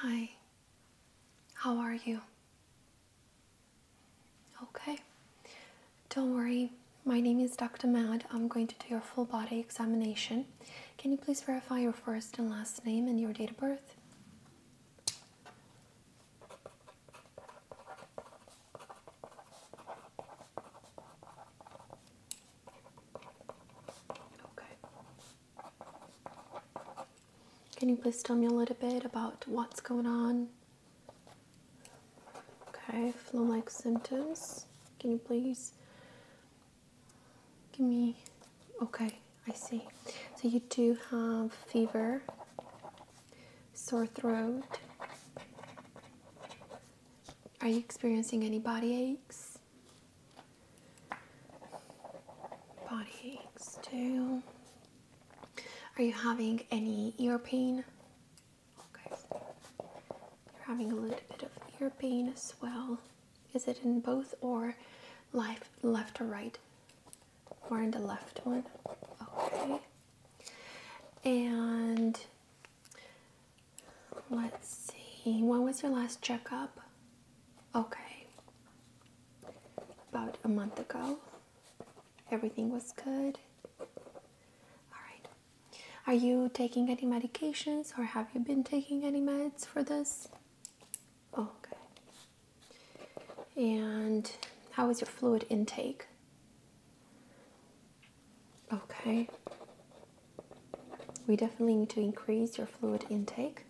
Hi, how are you? Okay, don't worry. My name is Dr. Mad. I'm going to do your full body examination. Can you please verify your first and last name and your date of birth? Okay. Can you please tell me a little bit about what's going on? Okay, flu like symptoms. Can you please give me. Okay, I see. So you do have fever, sore throat. Are you experiencing any body aches? Body aches too. Are you having any ear pain? You're having a little bit of ear pain as well. Is it in both or life left or right? We're in the left one. Okay. And let's see, when was your last checkup? Okay. About a month ago. Everything was good. Alright. Are you taking any medications or have you been taking any meds for this? Okay. And how is your fluid intake? Okay. We definitely need to increase your fluid intake.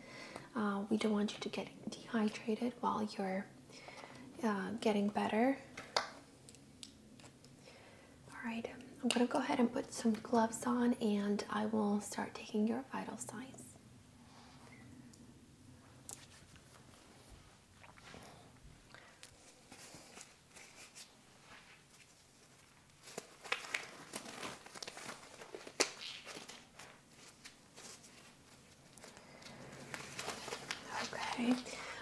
Uh, we don't want you to get dehydrated while you're uh, getting better. All right, I'm gonna go ahead and put some gloves on and I will start taking your vital signs. Okay,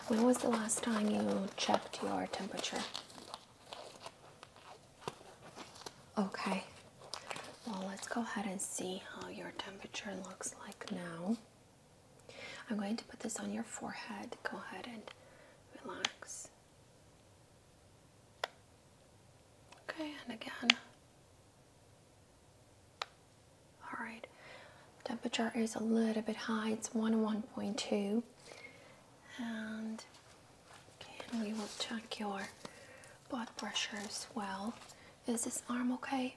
when was the last time you checked your temperature? Okay, well, let's go ahead and see how your temperature looks like now. I'm going to put this on your forehead. Go ahead and relax. Okay, and again. All right, temperature is a little bit high, it's one 101.2, and and we will check your blood pressure as well. Is this arm okay?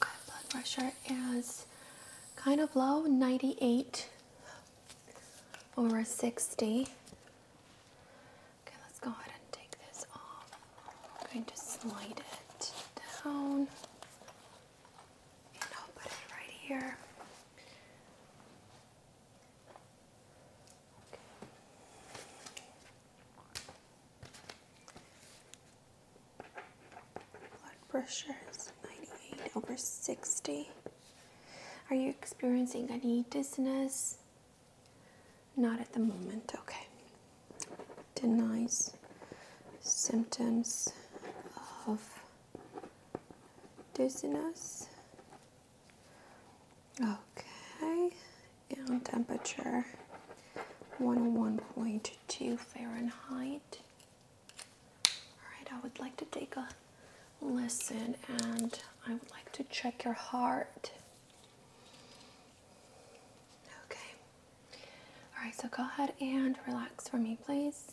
Okay, blood pressure is kind of low, 98 over 60. Okay, let's go ahead and take this off. I'm going to slide it down. And I'll put it right here. Blood pressure is 98 over 60. Are you experiencing any dizziness? Not at the moment, okay. Denies symptoms of dizziness Okay, and temperature 101.2 Fahrenheit. Alright, I would like to take a listen and I would like to check your heart. Okay. Alright, so go ahead and relax for me, please.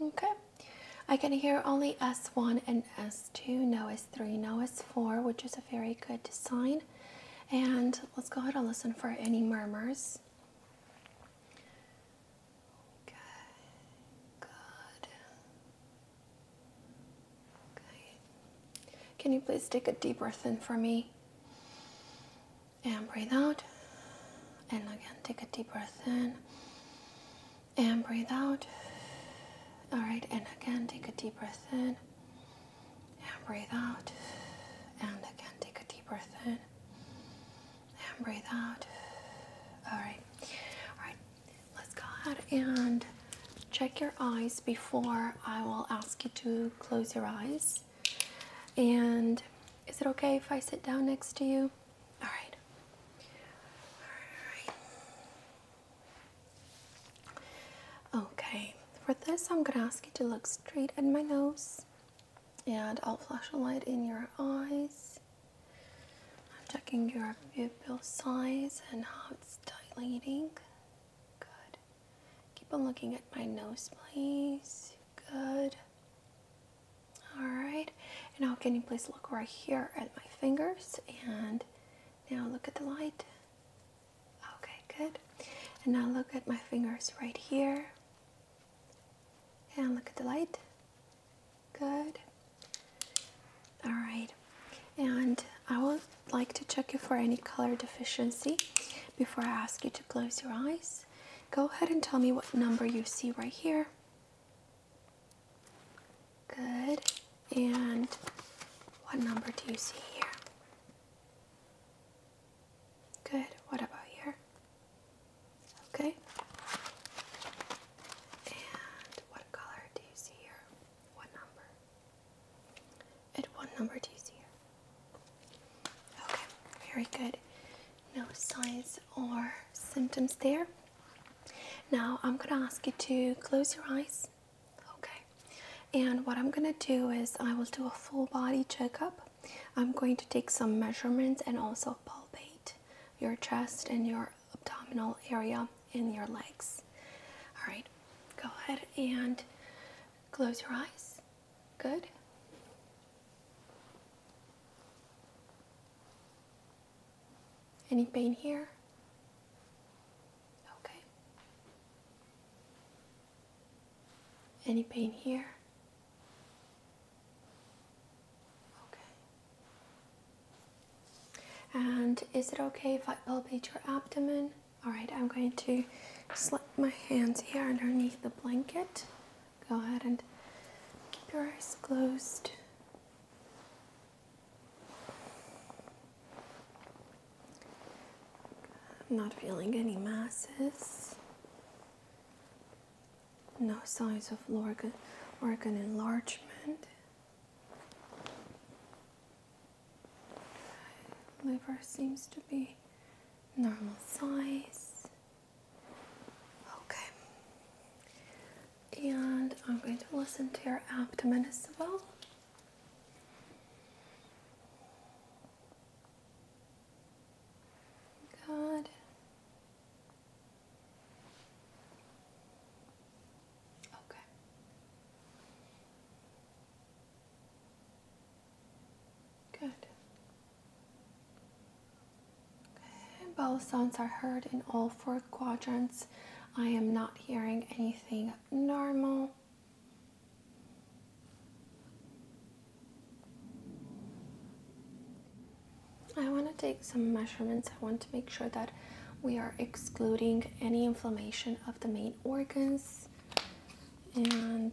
Okay, I can hear only S1 and S2, no S3, no S4, which is a very good sign. And let's go ahead and listen for any murmurs. Okay, good. Okay, can you please take a deep breath in for me? And breathe out. And again, take a deep breath in and breathe out. All right, and again, take a deep breath in and breathe out. And again, take a deep breath in and breathe out. All right, all right, let's go ahead and check your eyes before I will ask you to close your eyes. And is it okay if I sit down next to you? All right. Okay. For this, I'm gonna ask you to look straight at my nose, and I'll flash a light in your eyes. I'm checking your pupil size and how it's dilating. Good. Keep on looking at my nose, please. Good. All right, and now can you please look right here at my fingers and now look at the light. Okay, good. And now look at my fingers right here. And look at the light. Good. All right. And I would like to check you for any color deficiency before I ask you to close your eyes. Go ahead and tell me what number you see right here. Good. And what number do you see here? Good. What about here? Okay. And what color do you see here? What number? And what number do you see here? Okay. Very good. No signs or symptoms there. Now I'm going to ask you to close your eyes. Okay. And what I'm going to do is I will do a full body checkup. I'm going to take some measurements and also palpate your chest and your abdominal area and your legs. All right. Go ahead and close your eyes. Good. Any pain here? Okay. Any pain here? Okay. And is it okay if I palpate your abdomen? All right, I'm going to slip my hands here underneath the blanket go ahead and keep your eyes closed. I'm not feeling any masses. No signs of organ, organ enlargement. Liver seems to be normal size. Okay. And I'm going to listen to your abdomen as well. Good. Okay. Good. Both sounds are heard in all four quadrants. I am not hearing anything normal. I want to take some measurements. I want to make sure that we are excluding any inflammation of the main organs and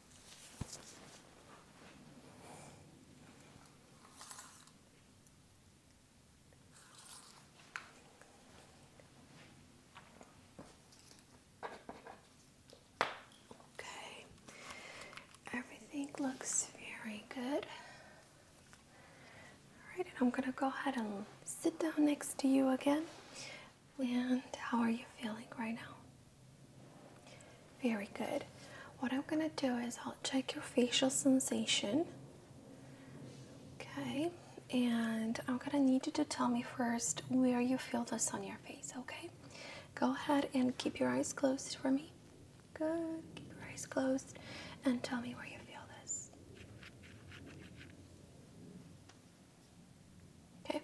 Okay, everything looks very good. All right, and I'm gonna go ahead and sit down next to you again. And how are you feeling right now? Very good. What I'm going to do is I'll check your facial sensation. Okay, and I'm going to need you to tell me first where you feel this on your face, okay? Go ahead and keep your eyes closed for me. Good. Keep your eyes closed and tell me where you feel this. Okay.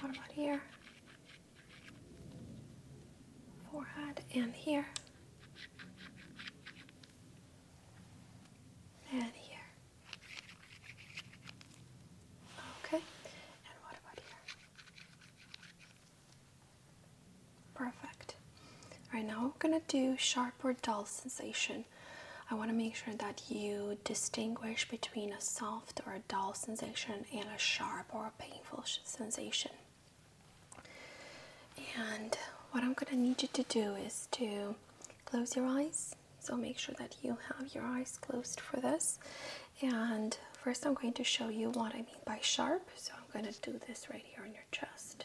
What about here? forehead and here and here. Okay, and what about here? Perfect. All right, now we're gonna do sharp or dull sensation. I want to make sure that you distinguish between a soft or a a dull sensation and a sharp or a painful sensation. And what I'm going to need you to do is to close your eyes. So make sure that you have your eyes closed for this. And first, I'm going to show you what I mean by sharp. So I'm going to do this right here on your chest.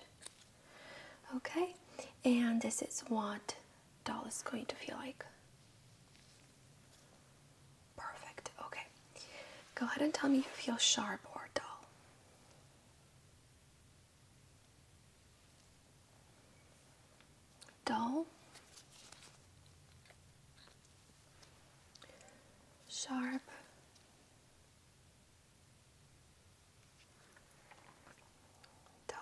Okay, and this is what doll is going to feel like. Perfect. Okay. Go ahead and tell me if you feel sharp or dull. Dull. Sharp. Dull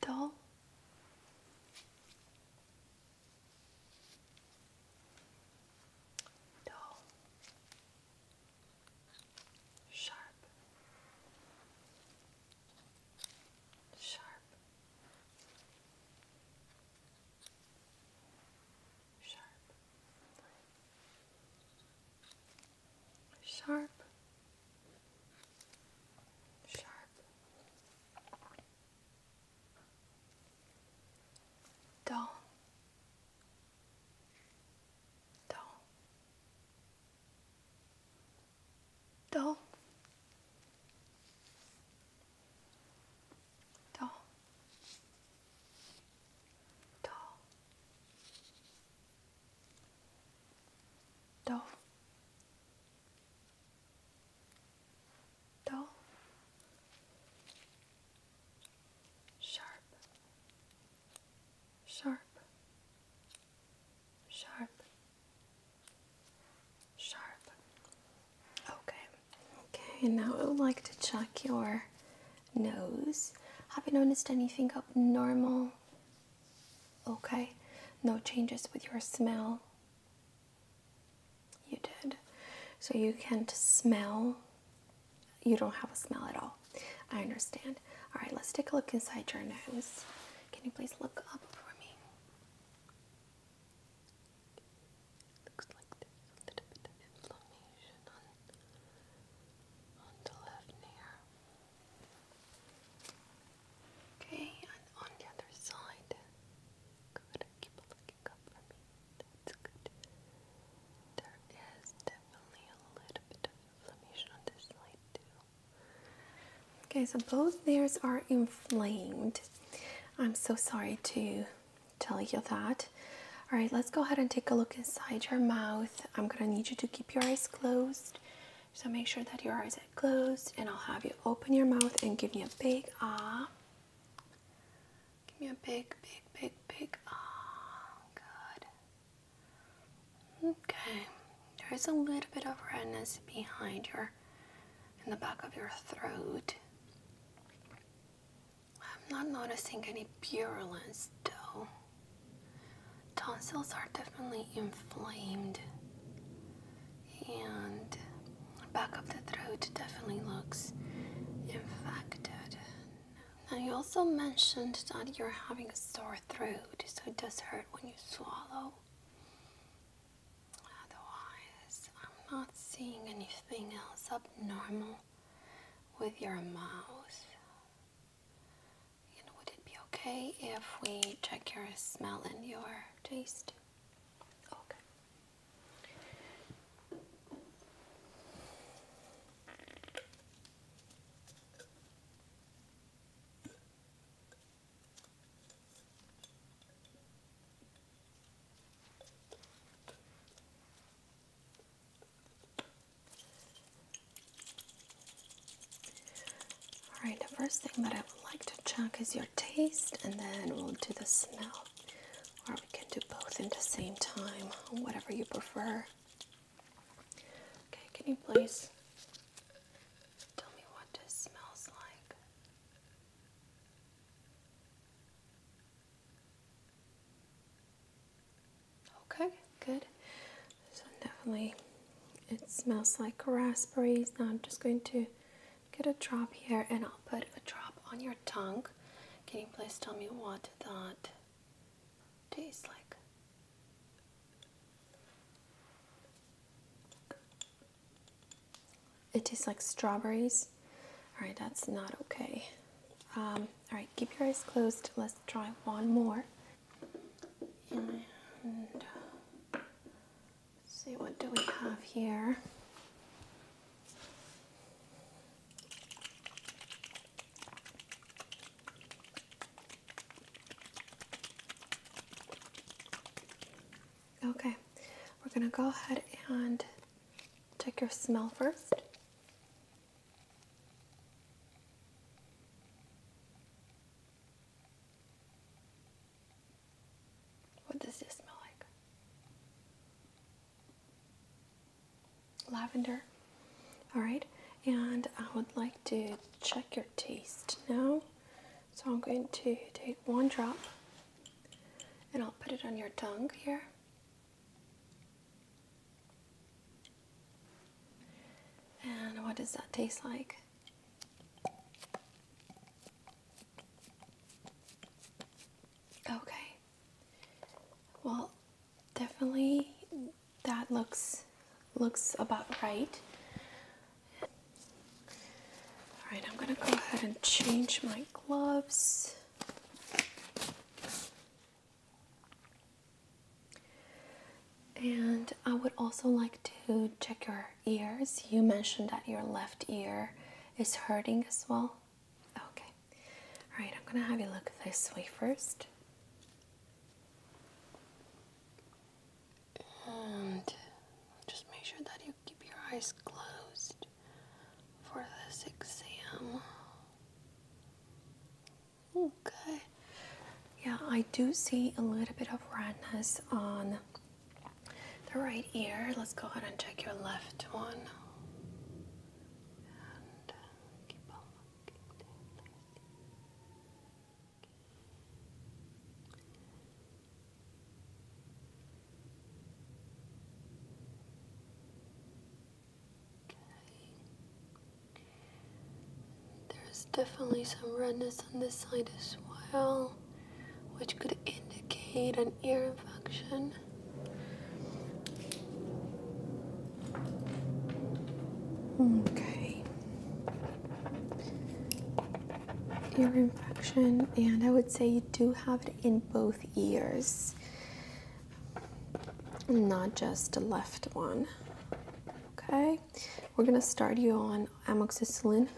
dull dull sharp sharp sharp sharp, sharp, dull, dull, dull. Dull, dull, do. Do. Sharp. Sharp. Sharp. Sharp. Okay. Okay, now I would like to check your nose. Have you noticed anything abnormal Okay, no changes with your smell. You did. So you can't smell. You don't have a smell at all. I understand. All right, let's take a look inside your nose. Can you please look up for me? Looks like a little bit of inflammation on, on the left ear. Okay, and on the other side. Good, keep looking up for me. That's good. There is definitely a little bit of inflammation on this side too. Okay, so both ears are inflamed. I'm so sorry to tell you that. All right, let's go ahead and take a look inside your mouth. I'm gonna need you to keep your eyes closed. So make sure that your eyes are closed, and I'll have you open your mouth and give me a big ah. Give me a big, big, big, big ah. Good. Okay. There is a little bit of redness behind your, in the back of your throat. I'm not noticing any purulence though. Tonsils are definitely inflamed, and back of the throat definitely looks infected. Now, you also mentioned that you're having a sore throat, so it does hurt when you swallow. Otherwise, I'm not seeing anything else abnormal with your mouth would it be okay if we check your smell and your taste? Okay. Alright, the first thing that I would like to check is your taste, and then we'll do the smell. Or we can do both at the same time, whatever you prefer. Okay, can you please tell me what this smells like? Okay, good. definitely it smells like raspberries. Now I'm just going to get a drop here and I'll put a drop on your tongue. Can you please tell me what that tastes like? It tastes like strawberries. Alright, that's not okay. Um, all right, keep your eyes closed. Let's try one more. And see what do we have here. Okay, we're gonna go ahead and check your smell first. What does this smell like? Lavender. All right, and I would like to check your taste now. So I'm going to take one drop and I'll put it on your tongue here. And what does that taste like? Okay. Well, definitely that looks looks about right. All right, I'm gonna go ahead and change my gloves. And I would also like to check your ears. You mentioned that your left ear is hurting as well. Okay. All right, I'm going to have you look this way first. And just make sure that you keep your eyes closed for this exam. Okay. Yeah, I do see a little bit of redness on the right ear. Let's go ahead and check your left one. Uh, there's definitely some redness on this side as well, which could indicate an ear infection. Okay. Ear infection, and I would say you do have it in both ears not just the left one. Okay, we're gonna start you on amoxicillin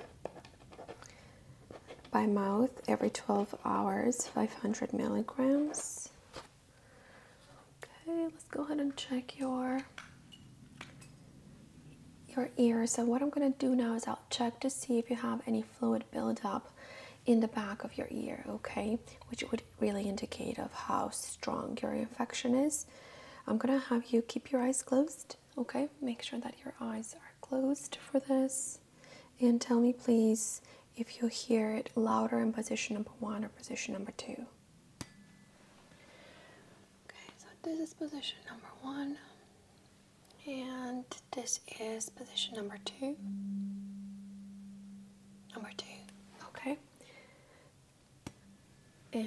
by mouth every 12 hours, 500 milligrams. Okay, let's go ahead and check your your ears. So what I'm gonna do now is I'll check to see if you have any fluid buildup in the back of your ear, okay, which would really indicate of how strong your infection is. I'm gonna have you keep your eyes closed, okay? Make sure that your eyes are closed for this. And tell me, please, if you hear it louder in position number one or position number two. Okay, so this is position number one. And this is position number two. Number two, okay. And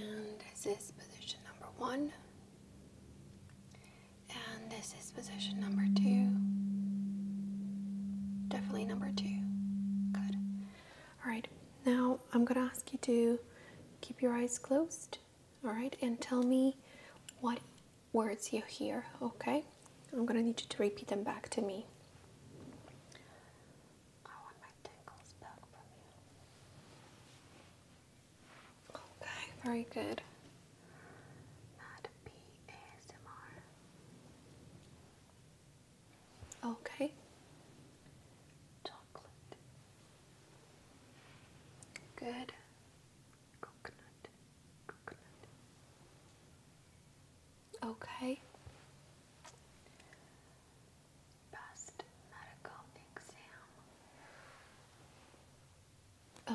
this is position number one. And this is position number two. Definitely number two. Good. All right, now I'm gonna ask you to keep your eyes closed, all right, and tell me what words you hear, okay? I'm gonna need you to repeat them back to me. Okay, very good. Okay. Good. Okay. Past medical exam.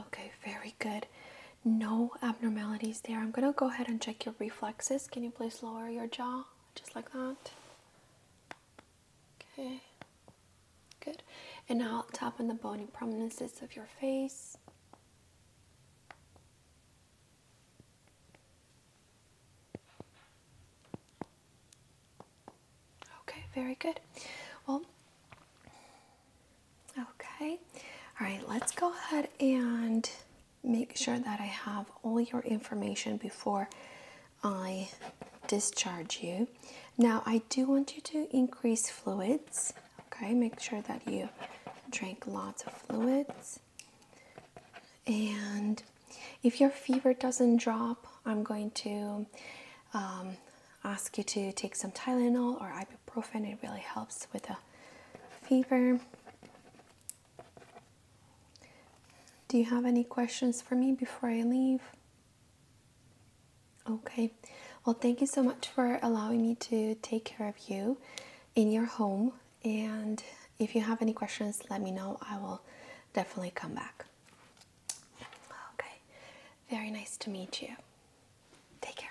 Okay, very good. No abnormalities there. I'm gonna go ahead and check your reflexes. Can you please lower your jaw just like that? Okay, good. And now tap on the bony prominences of your face. Okay, very good. Well, okay. All right, let's go ahead and make sure that I have all your information before I discharge you. Now, I do want you to increase fluids, Okay, make sure that you drink lots of fluids. And if your fever doesn't drop, I'm going to um, ask you to take some Tylenol or ibuprofen. It really helps with a fever. Do you have any questions for me before I leave? Okay, well, thank you so much for allowing me to take care of you in your home. And if you have any questions, let me know. I will definitely come back. Okay, very nice to meet you. Take care.